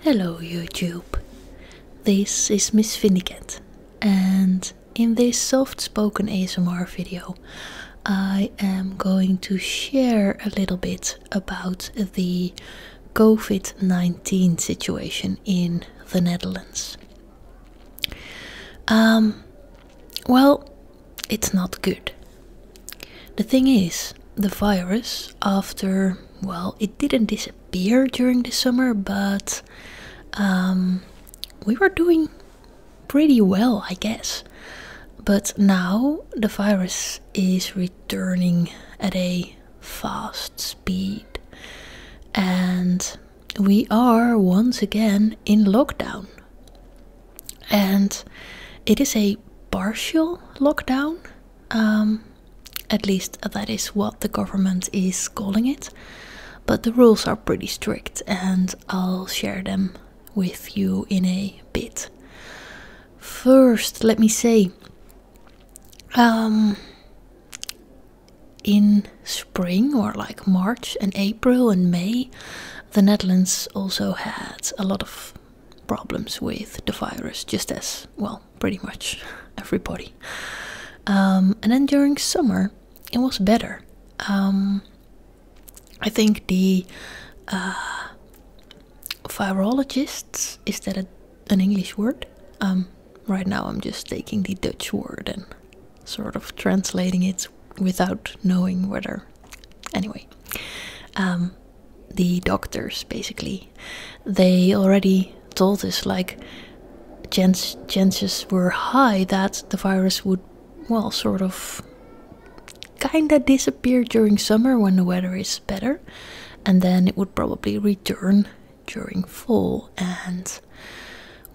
Hello YouTube, this is Miss Vindicat and in this soft spoken ASMR video I am going to share a little bit about the COVID-19 situation in the Netherlands. Um, well, it's not good. The thing is, the virus after, well, it didn't disappear during the summer, but um, we were doing pretty well, I guess. But now the virus is returning at a fast speed, and we are once again in lockdown. And it is a partial lockdown. Um, at least that is what the government is calling it. But the rules are pretty strict, and I'll share them with you in a bit. First, let me say, um, in spring or like March and April and May, the Netherlands also had a lot of problems with the virus, just as well, pretty much everybody. Um, and then during summer, it was better. Um, I think the uh, virologists is that an English word? Um, right now, I'm just taking the Dutch word and sort of translating it without knowing whether. Anyway, the doctors basically they already told us like chance chances were high that the virus would well sort of kinda disappear during summer when the weather is better and then it would probably return during fall and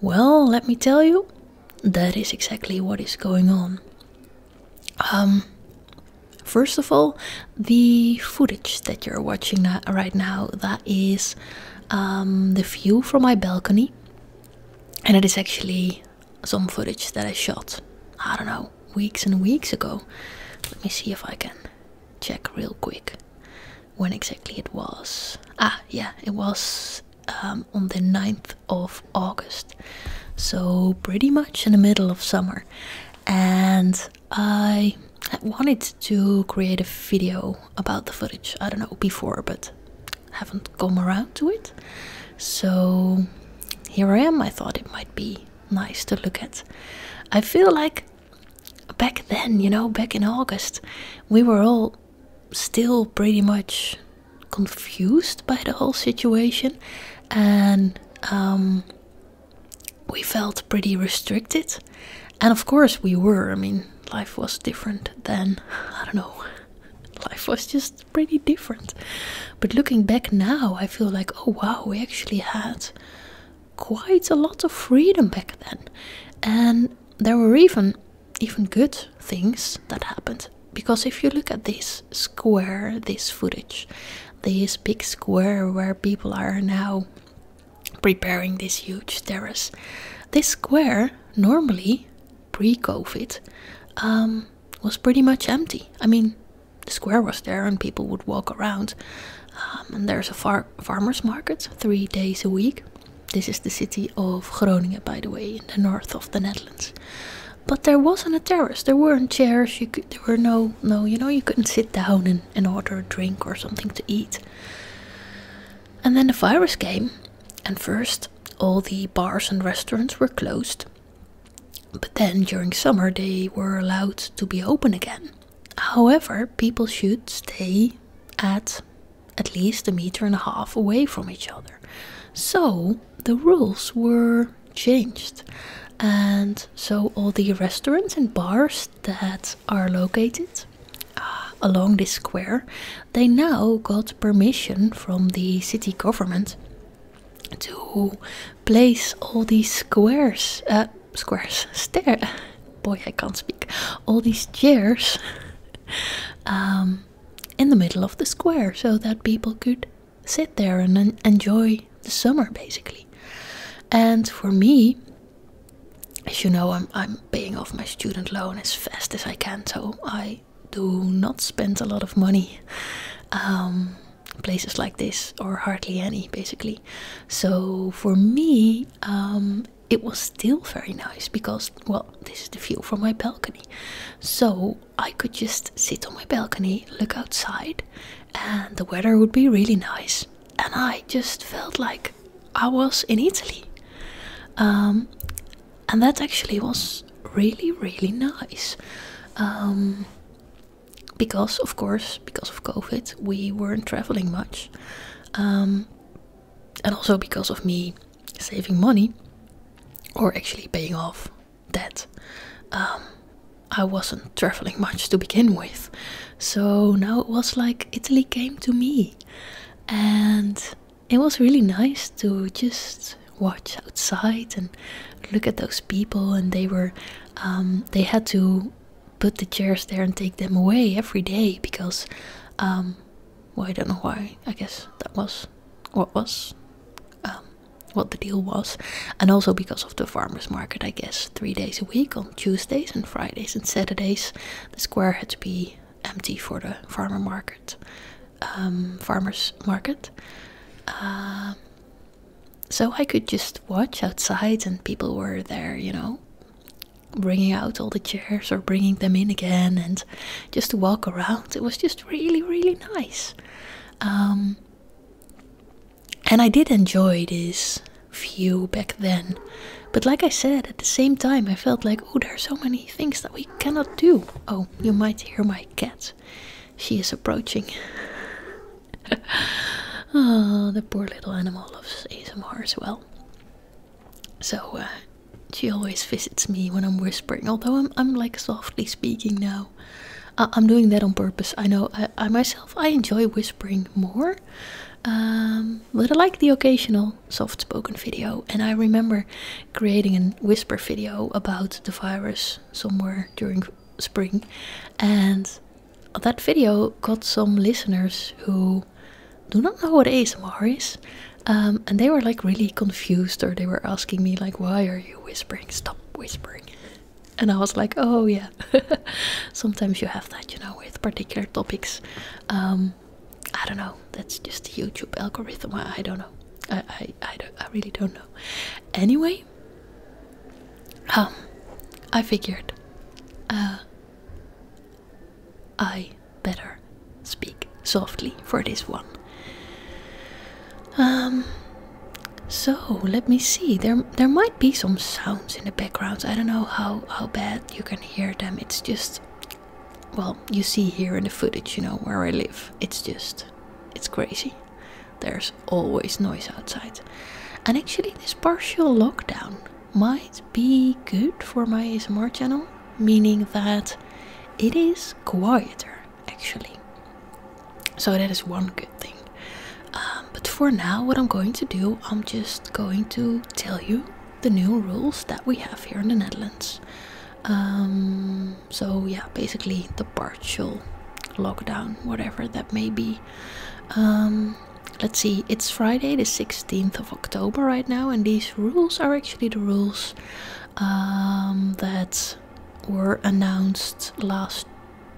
well let me tell you that is exactly what is going on um, first of all, the footage that you're watching right now that is um, the view from my balcony, and it is actually some footage that I shot. I don't know, weeks and weeks ago. Let me see if I can check real quick when exactly it was. Ah, yeah, it was um, on the 9th of August. So, pretty much in the middle of summer and I wanted to create a video about the footage. I don't know before, but haven't come around to it. So here I am. I thought it might be nice to look at. I feel like back then, you know, back in August, we were all still pretty much confused by the whole situation and um, we felt pretty restricted. And of course, we were. I mean, life was different then. I don't know. Life was just pretty different. But looking back now, I feel like, oh wow, we actually had quite a lot of freedom back then. And there were even even good things that happened. Because if you look at this, square this footage this big square where people are now preparing this huge terrace this square normally pre-covid um, was pretty much empty i mean the square was there and people would walk around um, and there's a far farmers market three days a week this is the city of groningen by the way in the north of the netherlands but there wasn't a terrace. There weren't chairs. You could, there were no no. You know, you couldn't sit down and, and order a drink or something to eat. And then the virus came, and first all the bars and restaurants were closed. But then during summer they were allowed to be open again. However, people should stay at at least a meter and a half away from each other. So the rules were changed and so all the restaurants and bars that are located uh, along this square they now got permission from the city government to place all these squares uh, squares stair boy i can't speak all these chairs um, in the middle of the square so that people could sit there and enjoy the summer basically. And for me, as you know, I'm, I'm paying off my student loan as fast as I can, so I do not spend a lot of money um, places like this, or hardly any basically. So for me, um, it was still very nice because, well, this is the view from my balcony. So I could just sit on my balcony, look outside, and the weather would be really nice. And I just felt like I was in Italy. Um, and that actually was really, really nice. Um, because, of course, because of COVID, we weren't traveling much. Um, and also because of me saving money, or actually paying off that um, I wasn't traveling much to begin with. So now it was like Italy came to me. And it was really nice to just watch outside and look at those people. And they were, um, they had to put the chairs there and take them away every day because, um, well, I don't know why. I guess that was what was um, what the deal was, and also because of the farmers market, I guess, three days a week on Tuesdays and Fridays and Saturdays, the square had to be empty for the farmer market, um, farmers market. Um, so I could just watch outside, and people were there, you know, bringing out all the chairs or bringing them in again, and just to walk around. It was just really, really nice. And I did enjoy this view back then. But like I said, at the same time, I felt like, oh, there are so many things that we cannot do. Oh, you might hear my cat. She is approaching. oh, the poor little animal loves ASMR as well. So, uh, she always visits me when I'm whispering, although I'm like softly speaking now. Uh, I am doing that on purpose. I know I, myself I enjoy whispering more, um, but I like the occasional soft spoken video. And I remember creating a whisper video about the virus somewhere during spring, and that video got some listeners who do not know what ASMR is. Um, and they were like really confused, or they were asking me like, "Why are you whispering? Stop whispering!" And I was like, oh yeah, sometimes you have that, you know, with particular topics. Um, I don't know, that's just the YouTube algorithm. I, don't know. I, I, I, really don't know. Anyway, um, I figured uh, I better speak softly for this one. Um, so let me see. There, there might be some sounds in the background. I don't know how how bad you can hear them. It's just, well, you see here in the footage, you know where I live. It's just, it's crazy. There's always noise outside, and actually, this partial lockdown might be good for my ASMR channel, meaning that it is quieter actually. So that is one good thing. Um, but for now, what I'm going to do, I'm just going to tell you the new rules that we have here in the Netherlands. Um, so, yeah, basically the partial lockdown, whatever that may be. Um, let's see, it's Friday the 16th of October right now, and these rules are actually the rules um, that were announced last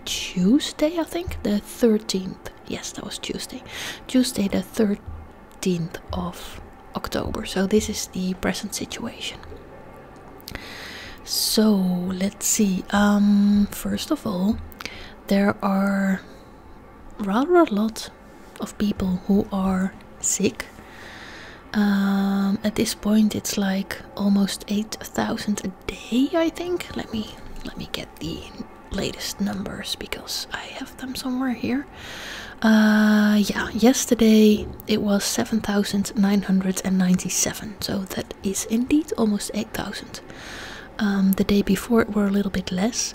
Tuesday, I think, the 13th. Yes, that was Tuesday. Tuesday, the 13th of October. So, this is the present situation. So, let's see. Um, first of all, there are rather a lot of people who are sick um, at this point, it's like almost eight thousand a day. I think. Let me let me get the latest numbers because I have them somewhere here. Uh, yeah, yesterday it was seven thousand nine hundred and ninety-seven. So that is indeed almost eight thousand. Um, the day before it were a little bit less,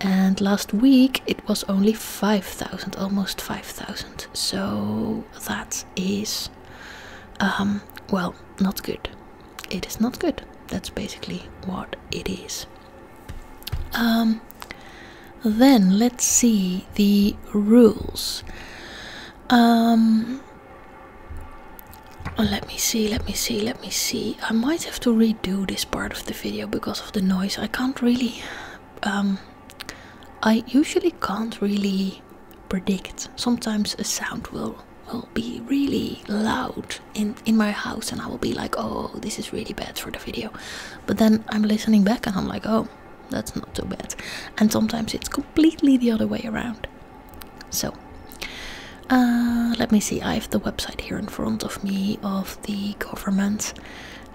and last week it was only five thousand, almost five thousand. So that is, um, well, not good. It is not good. That's basically what it is. Um, then let's see the rules. Um, oh, let me see, let me see, let me see. I might have to redo this part of the video because of the noise. I can't really um, I usually can't really predict. Sometimes a sound will will be really loud in in my house, and I will be like, "Oh, this is really bad for the video," but then I'm listening back, and I'm like, "Oh, that's not too bad." And sometimes it's completely the other way around. So. Uh, let me see. I have the website here in front of me of the government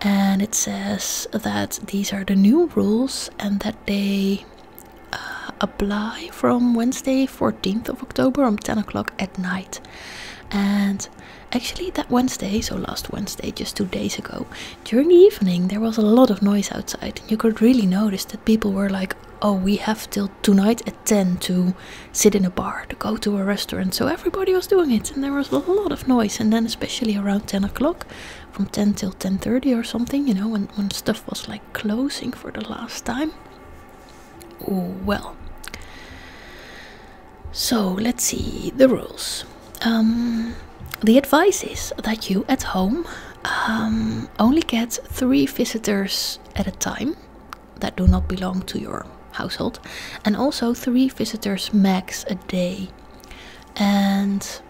and it says that these are the new rules and that they uh, apply from Wednesday 14th of October from um, 10 o'clock at night. And actually, that Wednesday, so last Wednesday, just two days ago, during the evening, there was a lot of noise outside. You could really notice that people were like, oh, we have till tonight at 10 to sit in a bar, to go to a restaurant. So everybody was doing it, and there was a lot of noise. And then, especially around 10 o'clock, from 10 till 10.30 or something, you know, when, when stuff was like closing for the last time. Oh, well. So let's see the rules. Um, the advice is that you at home um, only get three visitors at a time that do not belong to your household, and also three visitors max a day and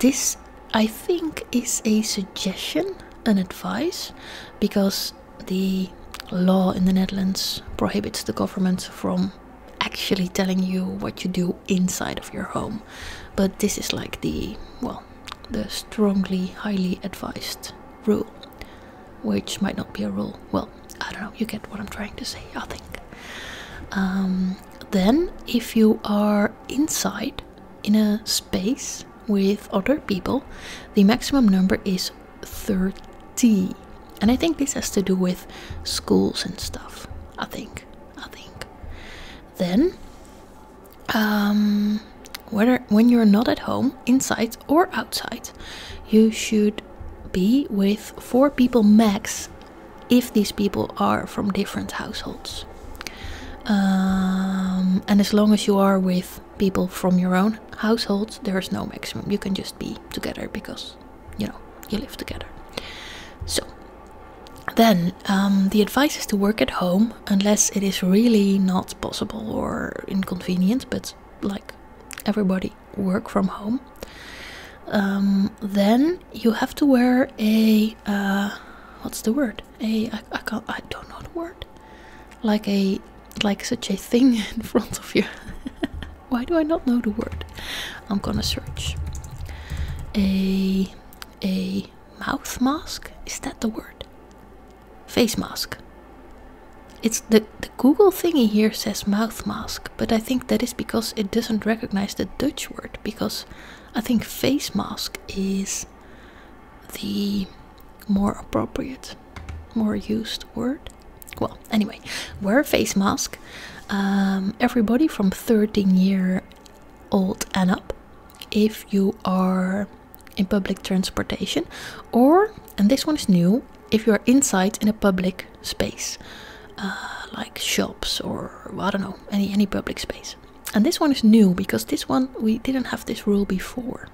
this I think is a suggestion, an advice, because the law in the Netherlands prohibits the government from actually telling you what you do inside of your home. But this is like the, well, the strongly, highly advised rule, which might not be a rule. Well, I don't know, you get what I'm trying to say, I think. Um, then, if you are inside in a space with other people, the maximum number is 30. And I think this has to do with schools and stuff. I think. I think. Then, um, whether when you're not at home, inside or outside, you should be with four people max if these people are from different households. Um, and as long as you are with people from your own household, there is no maximum. You can just be together because, you know, you live together. So, then um, the advice is to work at home unless it is really not possible or inconvenient, but like everybody work from home, um, then you have to wear a uh, what's the word? A I, I can't I don't know the word. Like a like such a thing in front of you. Why do I not know the word? I'm gonna search. A a mouth mask is that the word? Face mask. It's the the Google thingy here says mouth mask but I think that is because it doesn't recognize the Dutch word. Because I think face mask is the more appropriate, more used word. Well, anyway, wear a face mask. Um, everybody from 13 year old and up, if you are in public transportation, or and this one is new if you're inside in a public space, uh, like shops or I don't know, any any public space. And this one is new because this one we didn't have this rule before.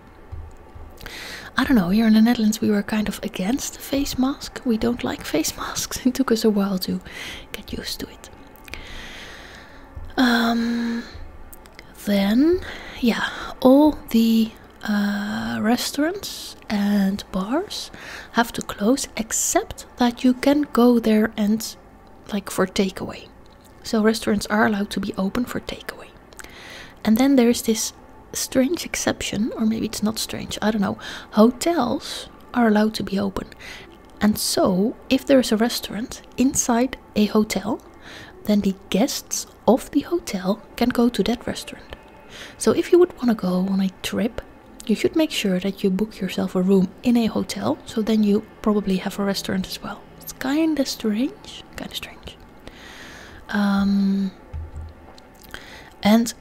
I don't know, here in the Netherlands we were kind of against the face mask. We don't like face masks. It took us a while to get used to it. Um, then, yeah, all the uh, restaurants and bars have to close except that you can go there and like for takeaway. So restaurants are allowed to be open for takeaway. And then there's this strange exception, or maybe it's not strange, I don't know. Hotels are allowed to be open. And so, if there is a restaurant inside a hotel, then the guests of the hotel can go to that restaurant. So, if you would want to go on a trip you should make sure that you book yourself a room in a hotel, so then you probably have a restaurant as well. It's kinda strange, kinda strange. Um, and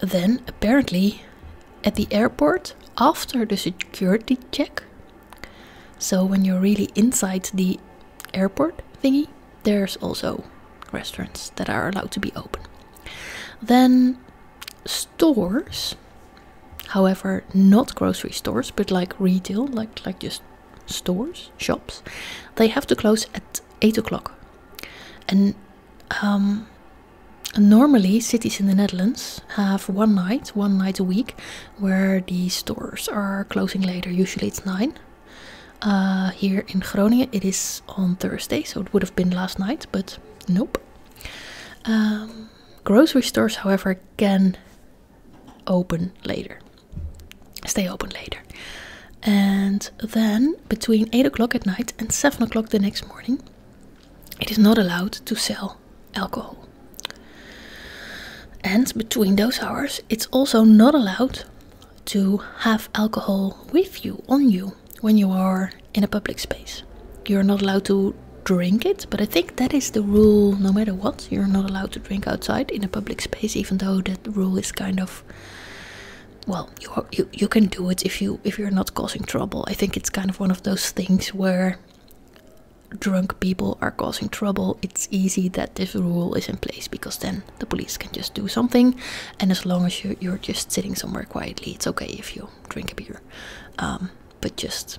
then apparently at the airport, after the security check, so when you're really inside the airport thingy, there's also restaurants that are allowed to be open. Then stores, however, not grocery stores, but like retail, like like just stores, shops, they have to close at eight o'clock. And um, normally, cities in the Netherlands have one night, one night a week, where the stores are closing later. Usually, it's nine. Uh, here in Groningen it is on Thursday, so it would have been last night, but nope. Um, grocery stores, however, can open later, stay open later. And then between 8 o'clock at night and 7 o'clock the next morning, it is not allowed to sell alcohol. And between those hours, it's also not allowed to have alcohol with you, on you when you are in a public space. You're not allowed to drink it, but I think that is the rule no matter what. You're not allowed to drink outside in a public space, even though that rule is kind of well, you you you can do it if you if you're not causing trouble. I think it's kind of one of those things where drunk people are causing trouble. It's easy that this rule is in place because then the police can just do something. And as long as you, you're just sitting somewhere quietly, it's okay if you drink a beer. Um, but just,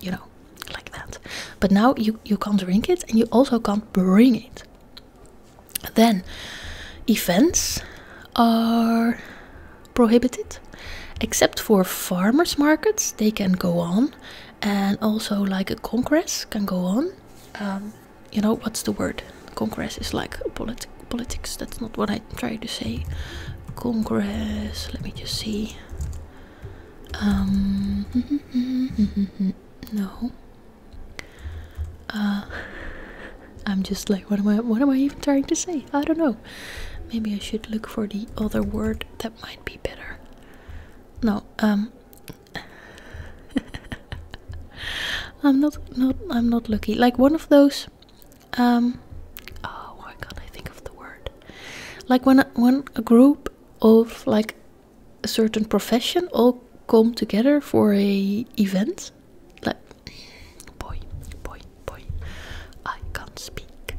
you know, like that. But now you, you can't drink it and you also can't bring it. Then events are prohibited except for farmers markets they can go on and also like a congress can go on um, you know what's the word congress is like politics that's not what i try to say congress let me just see um, no uh, i'm just like what am i what am i even trying to say i don't know maybe i should look for the other word that might be better no um I'm not not I'm not lucky. Like one of those um, oh why can I think of the word? Like when when a group of like a certain profession all come together for a event. Like boy, boy, boy. I can't speak.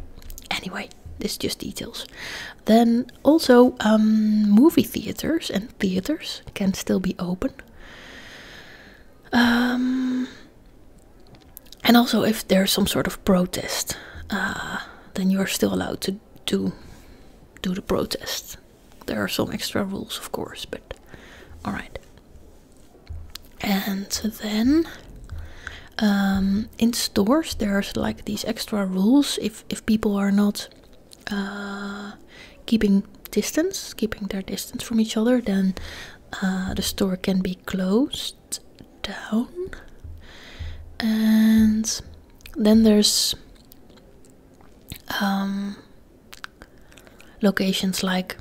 Anyway, this is just details. Then also um, movie theaters and theaters can still be open um, and also, if there's some sort of protest, uh, then you are still allowed to do do the protest. There are some extra rules, of course, but all right. And then um, in stores, there's like these extra rules if if people are not uh, keeping distance, keeping their distance from each other, then uh, the store can be closed down. And then there's um, locations like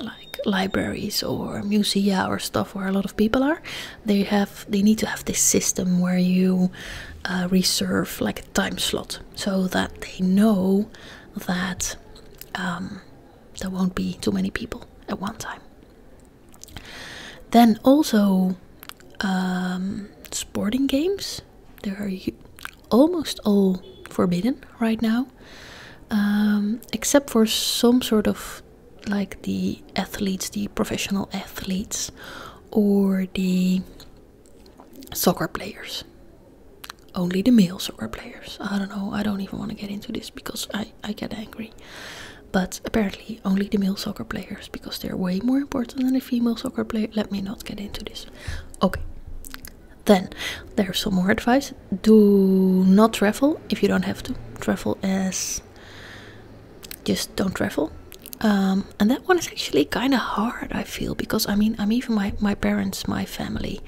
like libraries or museums or stuff where a lot of people are they have they need to have this system where you uh, reserve like a time slot so that they know that um, there won't be too many people at one time. Then also um, sporting games. They are almost all forbidden right now, um, except for some sort of like the athletes, the professional athletes, or the soccer players. Only the male soccer players. I don't know, I don't even want to get into this because I, I get angry. But apparently, only the male soccer players because they're way more important than the female soccer player. Let me not get into this. Okay. Then there's some more advice. Do not travel if you don't have to. Travel as just don't travel. Um, and that one is actually kind of hard i feel because i mean i'm even my, my parents my family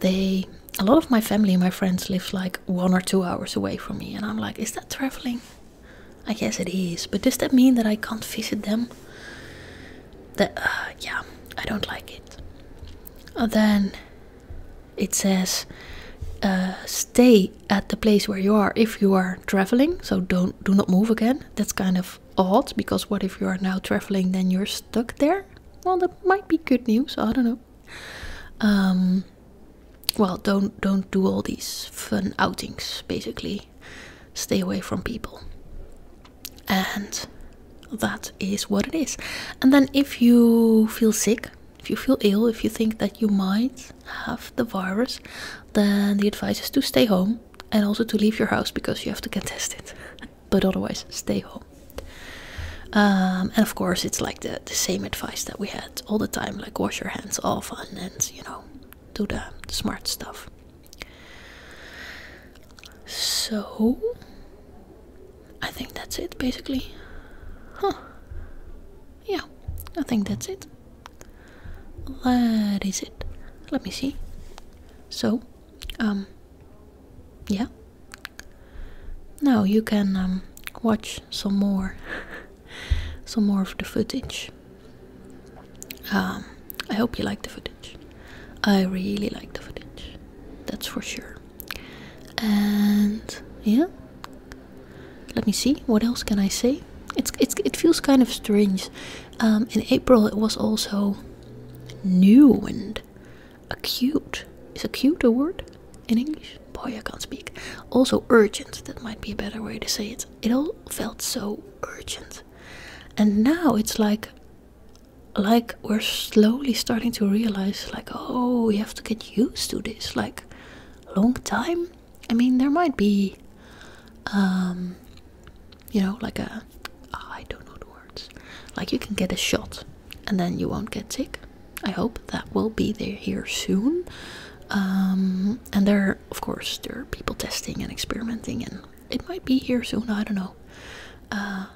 they a lot of my family and my friends live like one or two hours away from me and i'm like is that traveling i guess it is but does that mean that i can't visit them that uh, yeah i don't like it uh, then it says uh, stay at the place where you are if you are traveling so don't do not move again that's kind of odd because what if you are now traveling then you're stuck there well that might be good news i don't know um, well don't don't do all these fun outings basically stay away from people and that is what it is and then if you feel sick if you feel ill if you think that you might have the virus then the advice is to stay home and also to leave your house because you have to get tested. but otherwise, stay home. Um, and of course, it's like the, the same advice that we had all the time like, wash your hands often and, you know, do the, smart stuff. So, I think that's it basically. Yeah, I think that's it. That is it. Let me see. So, um, yeah. Now you can um, watch some more, some more of the footage. Um, I hope you like the footage. I really like the footage. That's for sure. And yeah. Let me see. What else can I say? It's it's it feels kind of strange um, in April, it was also new and acute. Is acute a word in English? Boy, I can't speak. Also urgent. That might be a better way to say it. It all felt so urgent, and now it's like, like we're slowly starting to realize, like, oh, we have to get used to this. Like, long time I mean, there might be, um, you know, like ai ah, don't know the words, like you can get a shot and then you won't get sick. I hope that will be there here soon. Um, and there, of course, there are people testing and experimenting, and it might be here soon. I don't know. Uh,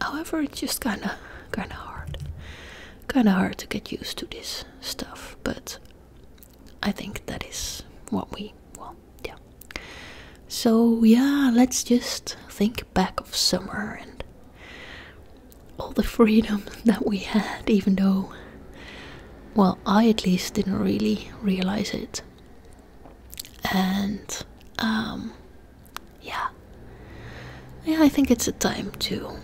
however, it's just kind of, kind of hard, kind of hard to get used to this stuff. But I think that is what we well, yeah. So yeah, let's just think back of summer and all the freedom that we had, even though well, I at least didn't really realize it. And um yeah. Yeah, I think it's a time to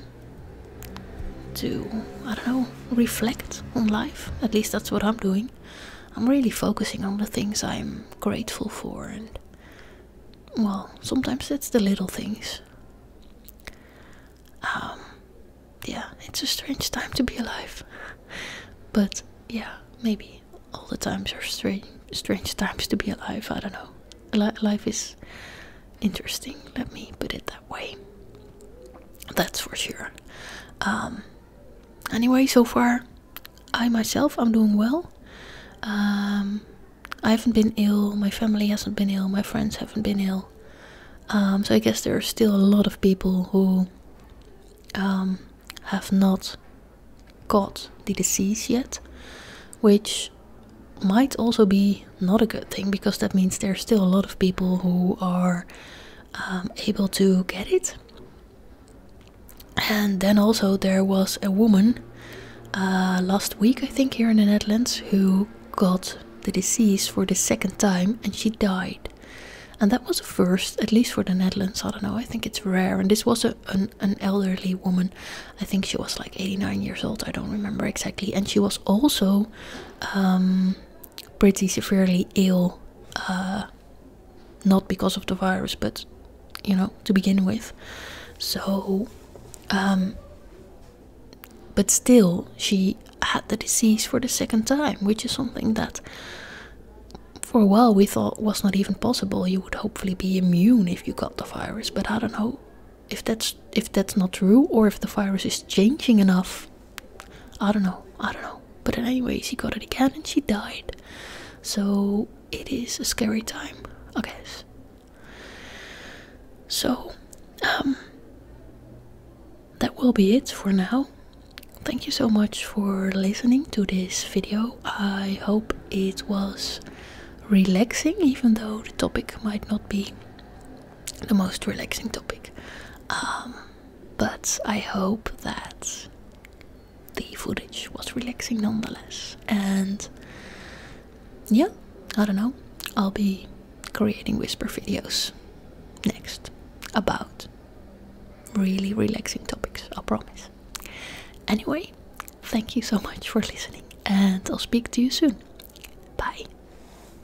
to I don't know reflect on life. At least that's what I'm doing. I'm really focusing on the things I'm grateful for, and well, sometimes it's the little things. Um, yeah, it's a strange time to be alive, but yeah, maybe all the times are strange, strange times to be alive. I don't know. life is interesting. Let me put it that way way. That's for sure. Um, anyway, so far, I myself I'm doing well. Um, I haven't been ill. My family hasn't been ill. My friends haven't been ill. Um, so I guess there are still a lot of people who have not got the disease yet, which might also be not a good thing because that means there are still a lot of people who are um, able to get it. And then also there was a woman uh, last week, I think, here in the Netherlands, who got the disease for the second time and she died. And that was the first, at least for the Netherlands. I don't know, I think it's rare. And this was a, an, elderly woman. I think she was like 89 years old, I don't remember exactly. And she was also um, pretty severely ill, uh, not because of the virus, but you know, to begin with. So, um, but still, she had the disease for the second time, which is something that for a while we thought was not even possible. You would hopefully be immune if you got the virus, but I don't know if that's if that's not true or if the virus is changing enough I don't know, I don't know. But anyway, she got it again and she died. So it is a scary time, I guess. So, um, that will be it for now. Thank you so much for listening to this video. I hope it was relaxing, even though the topic might not be the most relaxing topic. Um, but I hope that the footage was relaxing nonetheless. And yeah, I don't know. I'll be creating whisper videos next about really relaxing topics, I promise. Anyway, thank you so much for listening, and I'll speak to you soon. Bye.